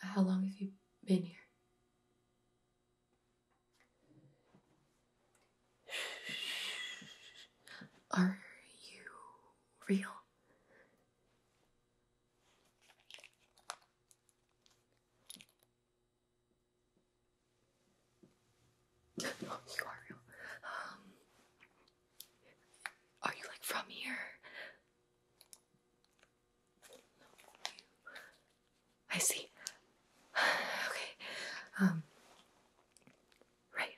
How long have you been here? Are you real? Oh, you are real. Um, are you like from here? I see. Okay. Um. Right.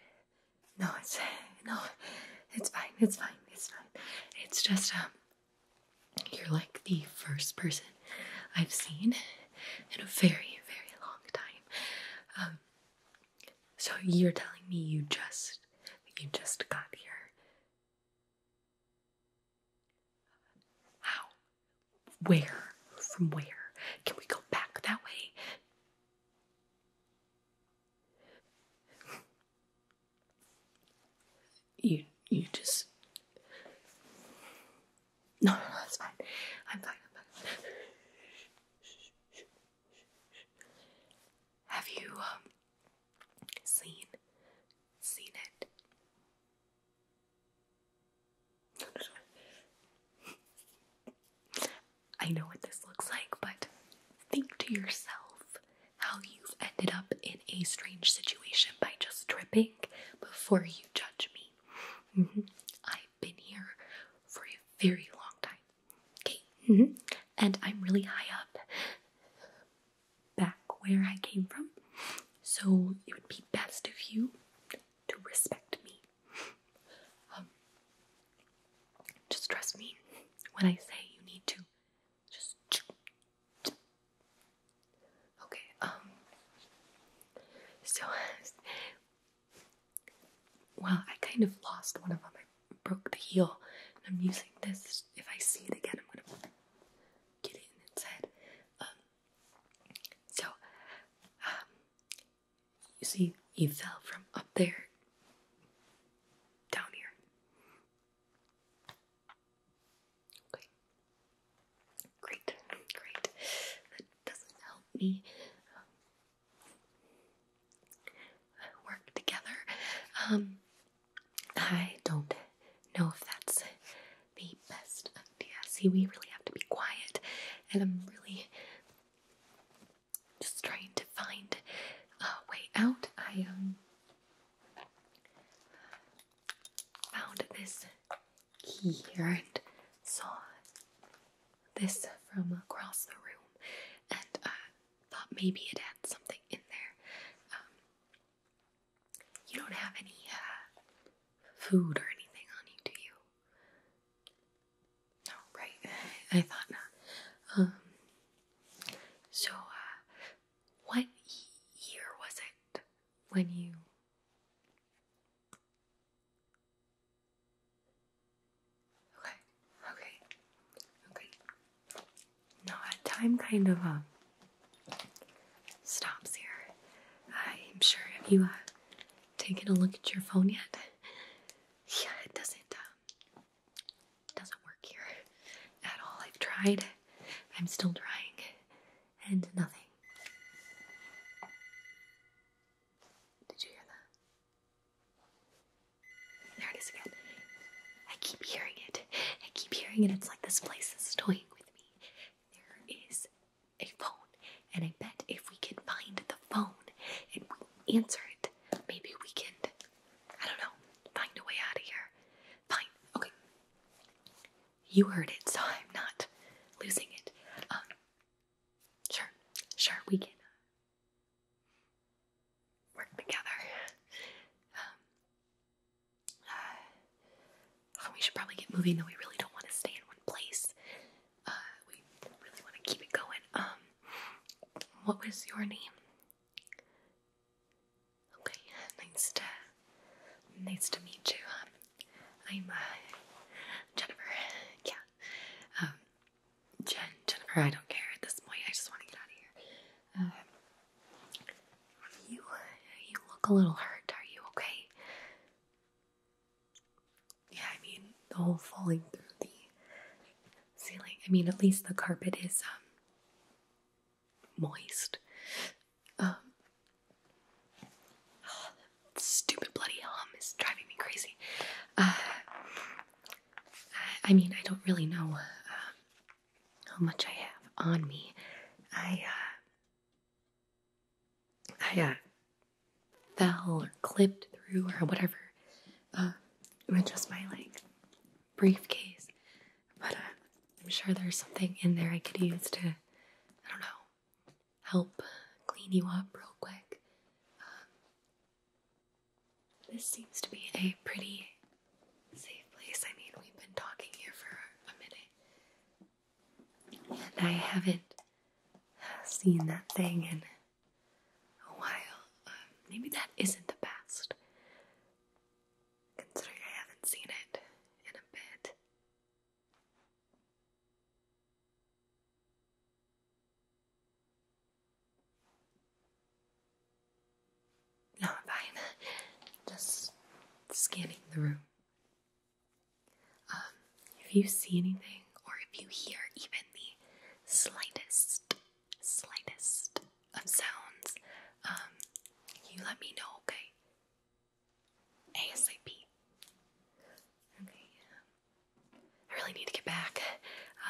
No, it's no, it's fine. It's fine. It's fine. It's just um. You're like the first person I've seen in a very, very long time. Um, so you're telling me you just you just got here. How? Where? From where? Can we go back that way? You you just no, no, no, it's fine. I'm fine. Have you um, seen seen it? I know what this looks like, but think to yourself how you've ended up in a strange situation by just tripping before you judge me. Mm-hmm. I've been here for a very long time. Okay. Mm-hmm. And I'm really high up back where I came from. So it would be best of you to respect me. Um, just trust me when I say you need to. Just. Okay, um. So, well, I kind of lost one of them. I broke the heel, and I'm using this. If I see it again, I'm gonna get it inside. Um, so, um, you see, you fell from up there down here. Okay. Great, great. That doesn't help me. Um, work together. Um, I don't know if that's the best idea. See, we really have to be quiet, and I'm really just trying to find a way out. I um found this key here and saw this from across the room, and uh, thought maybe it had something in there. Um, you don't have any uh, food or anything on you, do you? No, right? I, thought not. Um, so, uh, what year was it when you? Okay, okay, okay. Now time kind of um, stops here. I'm sure. Have you uh, taken a look at your phone yet? Yeah, it doesn't um, doesn't work here at all. I've tried. I'm still trying, and nothing. Did you hear that? There it is again. I keep hearing it. I keep hearing it. It's like this place is toying with me. There is a phone, and I bet if we can find the phone and we answer it, maybe we can, I don't know, find a way out of here. Fine. Okay. You heard it, so I'm not losing it. Um, sure, sure, we can uh, work together. Um, uh, we should probably get moving, though. We really don't want to stay in one place. Uh, we really want to keep it going. Um, what was your name? Okay, nice to nice to meet you. I'm uh, Jennifer. Yeah. Um, Jen, Jennifer, I don't care at this point. I just want to get out of here. Um, you, uh, you look a little hurt. Are you okay? Yeah, I mean the whole falling through the ceiling. I mean, at least the carpet is um moist. Um, stupid bloody hum is driving me crazy. Uh, I, mean, I don't really know uh, how much I have on me. I, uh, I, uh, fell or clipped through or whatever uh, with just my, like, briefcase. But, I'm sure there's something in there I could use to, I don't know, help clean you up real quick. This seems to be a pretty safe place. I mean, we've been talking here for a minute. And I haven't seen that thing in a while. Um, maybe that isn't the best. Considering I haven't seen it in a bit. No, I'm fine. Just scanning the room. Um, if you see anything or if you hear even the slightest, slightest of sounds, um, you let me know, okay? ASAP. Okay, um, I really need to get back.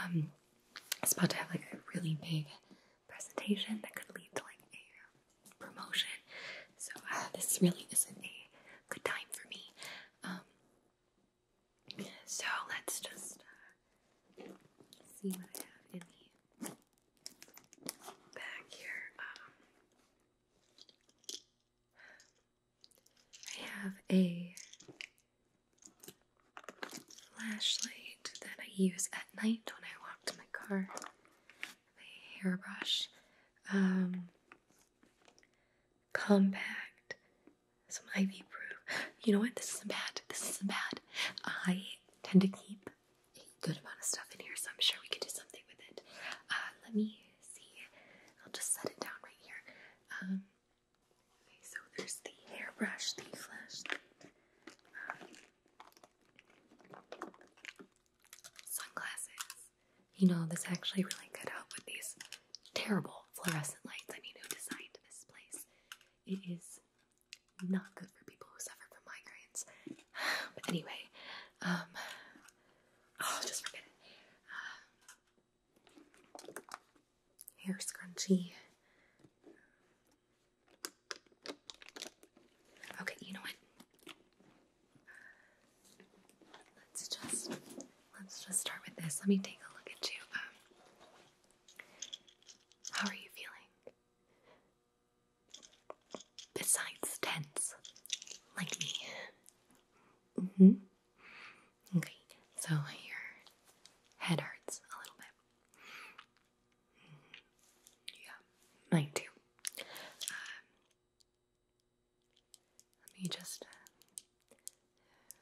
Um, I was about to have like a really big presentation that could lead to like a promotion, so uh, this really isn't a good time for me. Um, so let's just uh, see what I have in the back here. Um, I have a flashlight that I use at night when I walk to my car. A hairbrush. Um, compact. Some ivy proof. You know what? This isn't bad. This isn't bad. I tend to keep a good amount of stuff in here, so I'm sure we could do something with it. Uh, let me see. I'll just set it down right here. Um, Okay, so there's the hairbrush, the flashlight, um, sunglasses. You know, this actually really could help with these terrible fluorescent lights. I mean, who designed this place? It is not good for people who suffer from migraines. But anyway, um, oh, just forget it. Um, hair scrunchie. Okay, you know what? Let's just let's just start with this. Let me take a look at you. Um, how are you feeling? Besides tense, like me. Mm-hmm. Okay, so your head hurts a little bit. Mm-hmm. Yeah, mine too. Um, let me just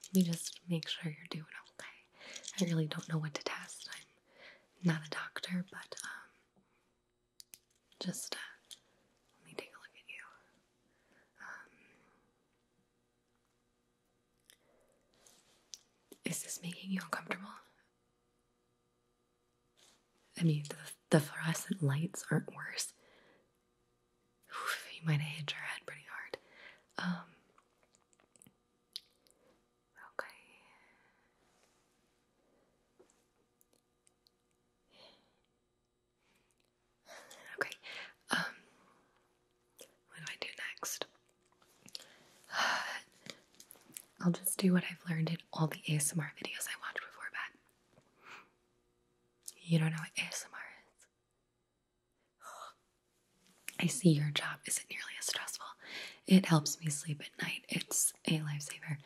let me just make sure you're doing okay. I really don't know what to test. I'm not a doctor, but um, just uh, let me take a look at you. Um, is this making you uncomfortable? I mean, the, the fluorescent lights aren't worse. Oof, you might have hit your head pretty hard. Um, okay. Okay, um, what do I do next? I'll just do what I've learned in all the ASMR videos I watched before bed. You don't know what ASMR is. I see your job isn't nearly as stressful. It helps me sleep at night. It's a lifesaver.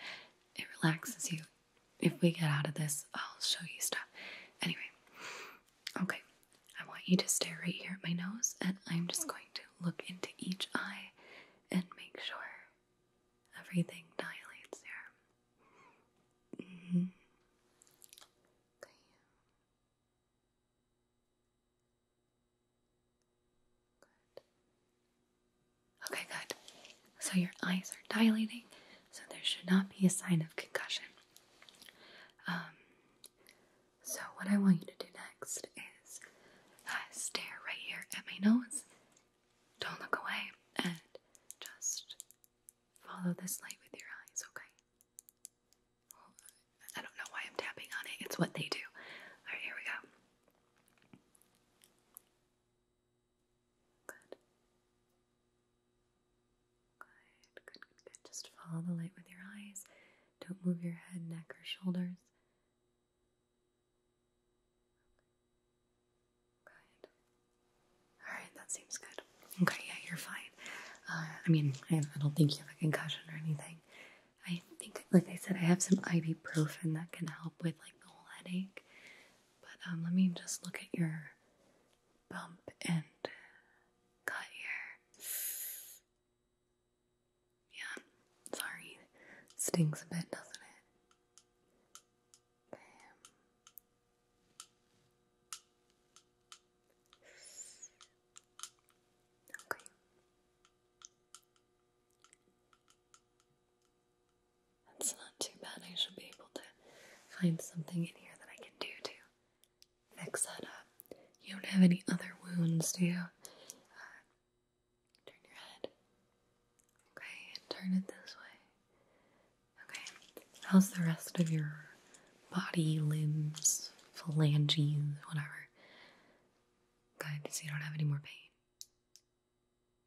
It relaxes you if we get out of this, I'll show you stuff. Anyway, okay, I want you to stare right here at my nose, and I'm just going to look into each eye and make sure everything dilates here. Mm-hmm. okay. Good. Okay, good. So your eyes are dilating so there should not be a sign of concussion. Um, so, what I want you to do next is uh, stare right here at my nose. Don't look away and just follow this light with your eyes, okay? I don't know why I'm tapping on it, it's what they do. Alright, here we go. Good. Good, good, Just follow the light with your eyes. Don't move your head, neck, or shoulders. Good. Alright, that seems good. Okay, yeah, you're fine. Uh, I mean, I, don't think you have a concussion or anything. I think, like I said, I have some ibuprofen that can help with like the whole headache. But um, let me just look at your bump and cut here. Yeah, sorry. Stings a bit, doesn't it? Okay. That's not too bad. I should be able to find something in here that I can do to mix that up. You don't have any other wounds, do you? turn your head. Okay, turn it this way. Okay, how's the rest of your body, limbs, phalanges, whatever? Good, so you don't have any more pain.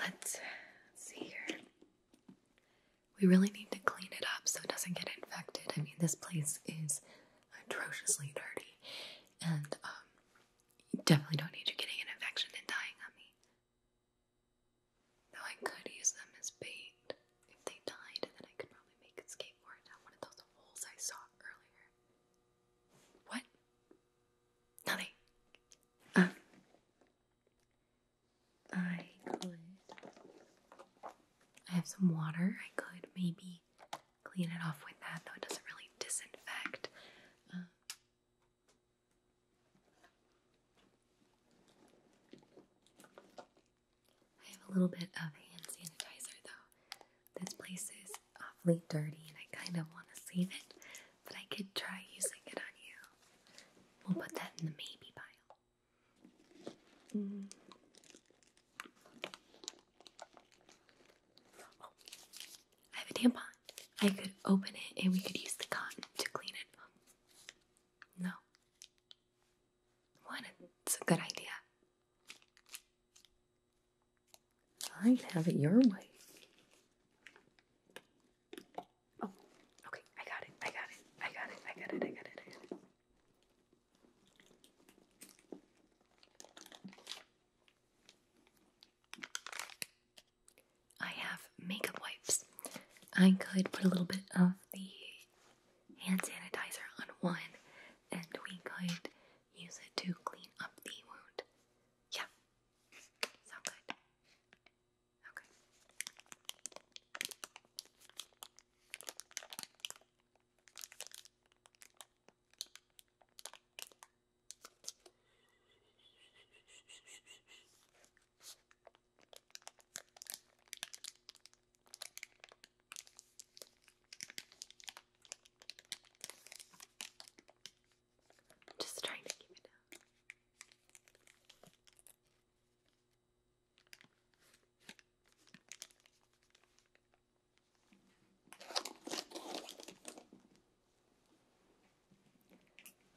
Let's see here. We really need to clean it up so it doesn't get infected. I mean, this place is atrociously dirty, and um, you definitely don't need you getting an infection and dying on me. Though I could use them as bait if they died, then I could probably make a skateboard out one of those holes I saw earlier. What? Nothing. Um, I could. I have some water. I could maybe clean it off with that, though it doesn't really disinfect. Um, I have a little bit of hand sanitizer, though. This place is awfully dirty and I kind of want to save it, but I could try using it on you. We'll put that in the maybe pile. Oh, I have a tampon. I could open it and we could use the cotton to clean it. No. What? It's a good idea. I'd have it your way. Oh, okay. I got it. I got it. I got it. I got it. I got it. I got it. I have makeup wipes. I could put a little bit of the hand sanitizer on one, and we could use it to clean up the wound. Yeah. Sound good. Okay. I'm just trying to keep it down.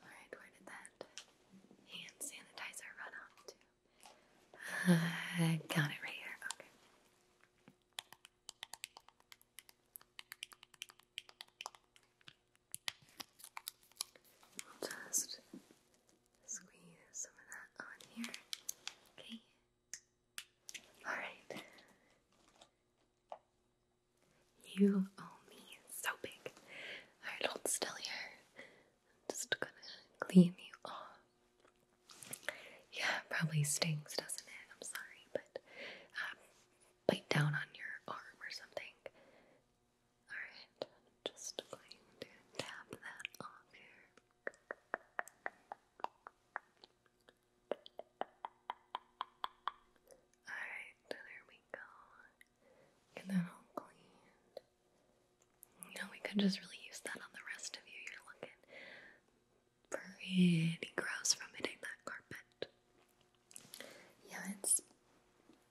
Alright, where did that hand sanitizer run off to? I got it right here. Okay just squeeze some of that on here. Okay. Alright. You owe me so big. Alright, hold still here. I'm just gonna clean you off. Yeah, probably stings, doesn't it? I'm sorry but um, bite down on your arm or something. Alright, just tap that off here. Alright, there we go. Get that all cleaned. You know, we could just really use that on the rest of you. You're looking pretty gross from hitting that carpet. Yeah, it's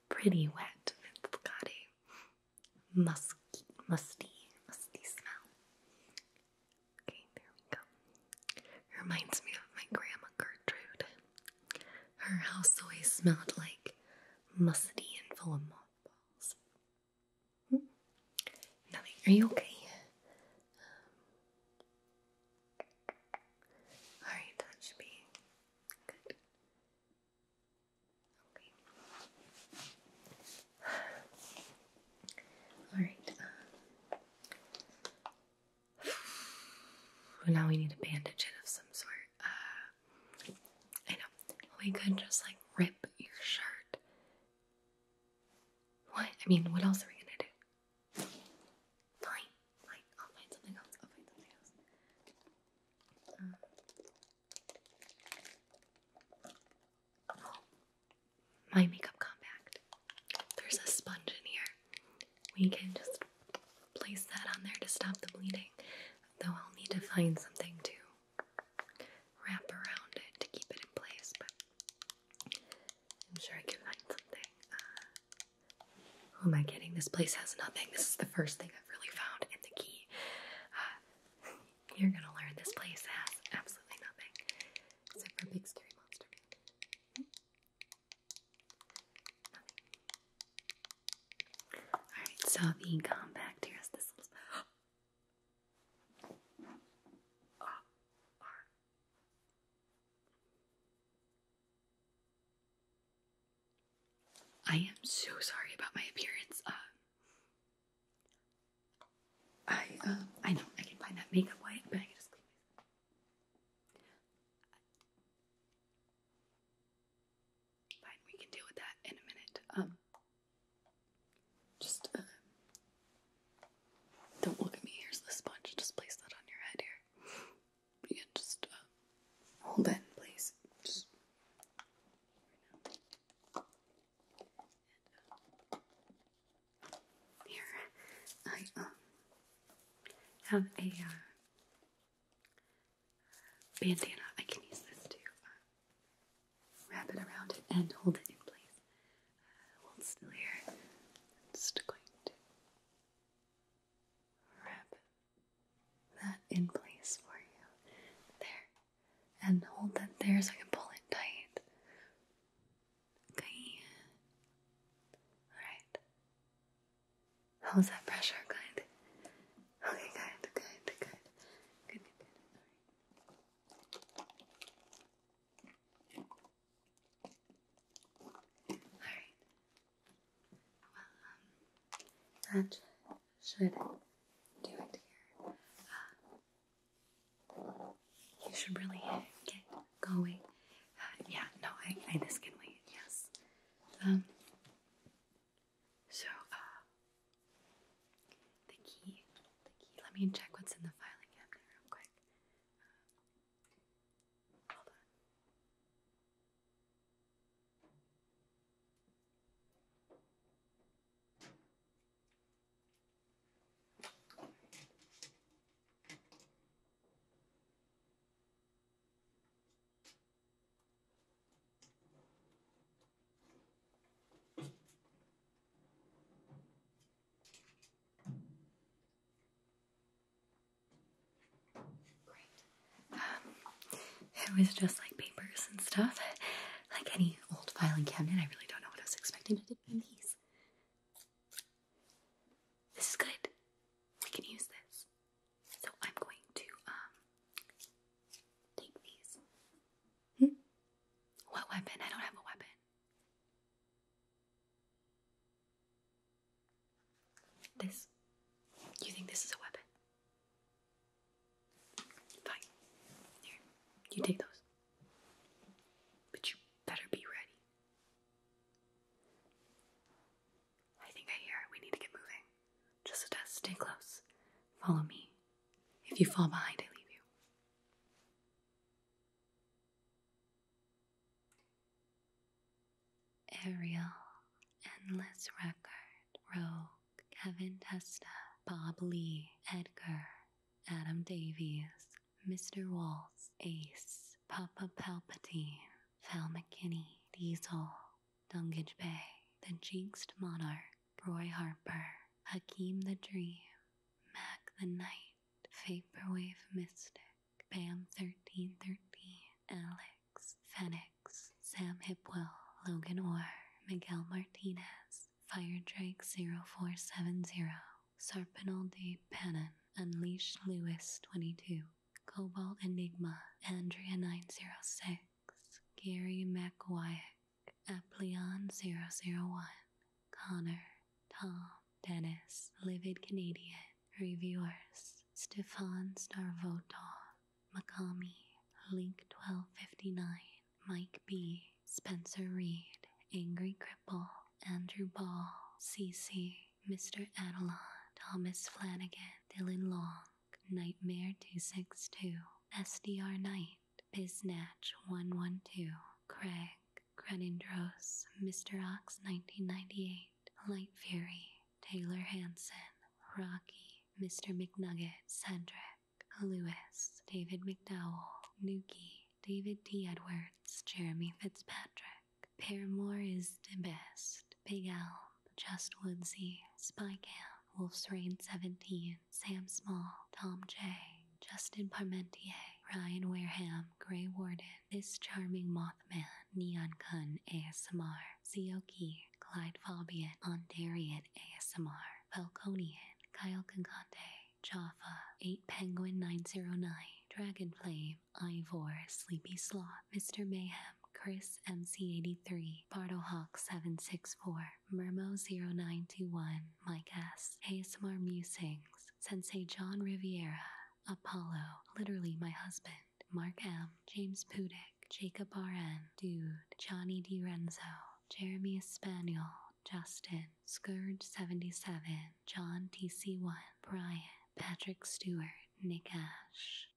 pretty wet. It's got a musty, musty, musty smell. Okay, there we go. reminds me of my grandma Gertrude. Her house always smelled like musty and full of mothballs. Hmm? Are you okay? Alright, that should be good. Okay. Alright, um, now we need a bandage of some sort. Uh, I know. We could just like rip your shirt. What? I mean, what else are we gonna do? Fine, fine. I'll find something else. I'll find something else. Um, my makeup compact. There's a sponge in here. We can just place that on there to stop the bleeding. Though I'll need to find something to wrap around it to keep it in place. But I'm sure I can find something. Uh, who am I kidding? This place has nothing. This is the first thing I've really found in the key. Uh, you're gonna learn this place has absolutely nothing. Except for a big scary monster. Alright, so the compact here is this I am so sorry about my appearance. Uh, I uh, I know I can find that makeup wipe, but I can just clean myself. Fine, we can deal with that in a minute. Um, just uh, don't look at me. Here's the sponge. Just place that on your head here. You just uh, hold it in place. Just right now. here, I um have a uh, bandana. I can use this to wrap it around it and hold it in place. Uh, hold still here. I'm just going to wrap that in place for you. There. And hold that there so I can pull it tight. Okay. Alright. How's that pressure? Good. Okay, good, good, good. Good, good, Alright. Alright. Well, um, that should do it here. Uh, you should really get going. Uh, yeah, no, I, I, this can wait, yes. Um, so, uh, the key. The key. Let me check what's in the filing cabinet real quick. Uh, hold on. Um, it was just like papers and stuff. Like any old filing cabinet, I really don't know what I was expecting to do in these. This is good. We can use this. So I'm going to um take these. Hmm? What weapon? I don't have a weapon. This. You think this is a weapon? Fine. you take those. But you better be ready. I think I hear it. We need to get moving. Just a test. Stay close. Follow me. If you fall behind, I leave you. Ariel, Endless Record, Rogue, Kevin Testa, Bob Lee, Edgar, Adam Davies, Mr. Waltz, Ace, Papa Palpatine, Val McKinney, Diesel, Dungage Bay, The Jinxed Monarch, Roy Harper, Hakeem the Dream, Mac the Knight, Vaporwave Mystic, Bam1313, Alex, Fenix, Sam Hipwell, Logan Orr, Miguel Martinez, Fire Drake 470 Sarpinal de Pannon, Unleash Lewis22, Cobalt Enigma, Andrea906, Gary McQuay. Eplion001, Connor, Tom, Dennis, Livid Canadian, Reviewers, Stefan Starvotov, Makami, Link1259, Mike B, Spencer Reed, Angry Cripple, Andrew Ball, CC, Mr. Adelon, Thomas Flanagan, Dylan Long, Nightmare262, SDR Knight, Biznatch 112, Craig, Crenindros, Mr. Ox 1998, Light Fury, Taylor Hanson, Rocky, Mr. McNugget, Cedric, Lewis, David McDowell, Nuki, David D. Edwards, Jeremy Fitzpatrick, Paramore is the best, Big Elm, Just Woodsy, Spy Camp, Wolf's Rain 17, Sam Small, Tom J., Justin Parmentier, Ryan Wareham, Gray Warden, This Charming Mothman, Neon Kun ASMR, Zioki, Clyde Fabian, Ondarian ASMR, Falconian, Kyle Concante, Jaffa, 8 Penguin 909, Dragonflame, Ivor, Sleepy Sloth, Mr. Mayhem, Chris MC83, Hawk, 764 Mermo0921, been my guest, ASMR Musings, Sensei John Riviera, Apollo, literally my husband, Mark M, James Pudick, Jacob RN, Dude, Johnny D. Renzo. Jeremy Espanol, Justin, Scourge77, John TC1, Brian, Patrick Stewart, Nick Ash.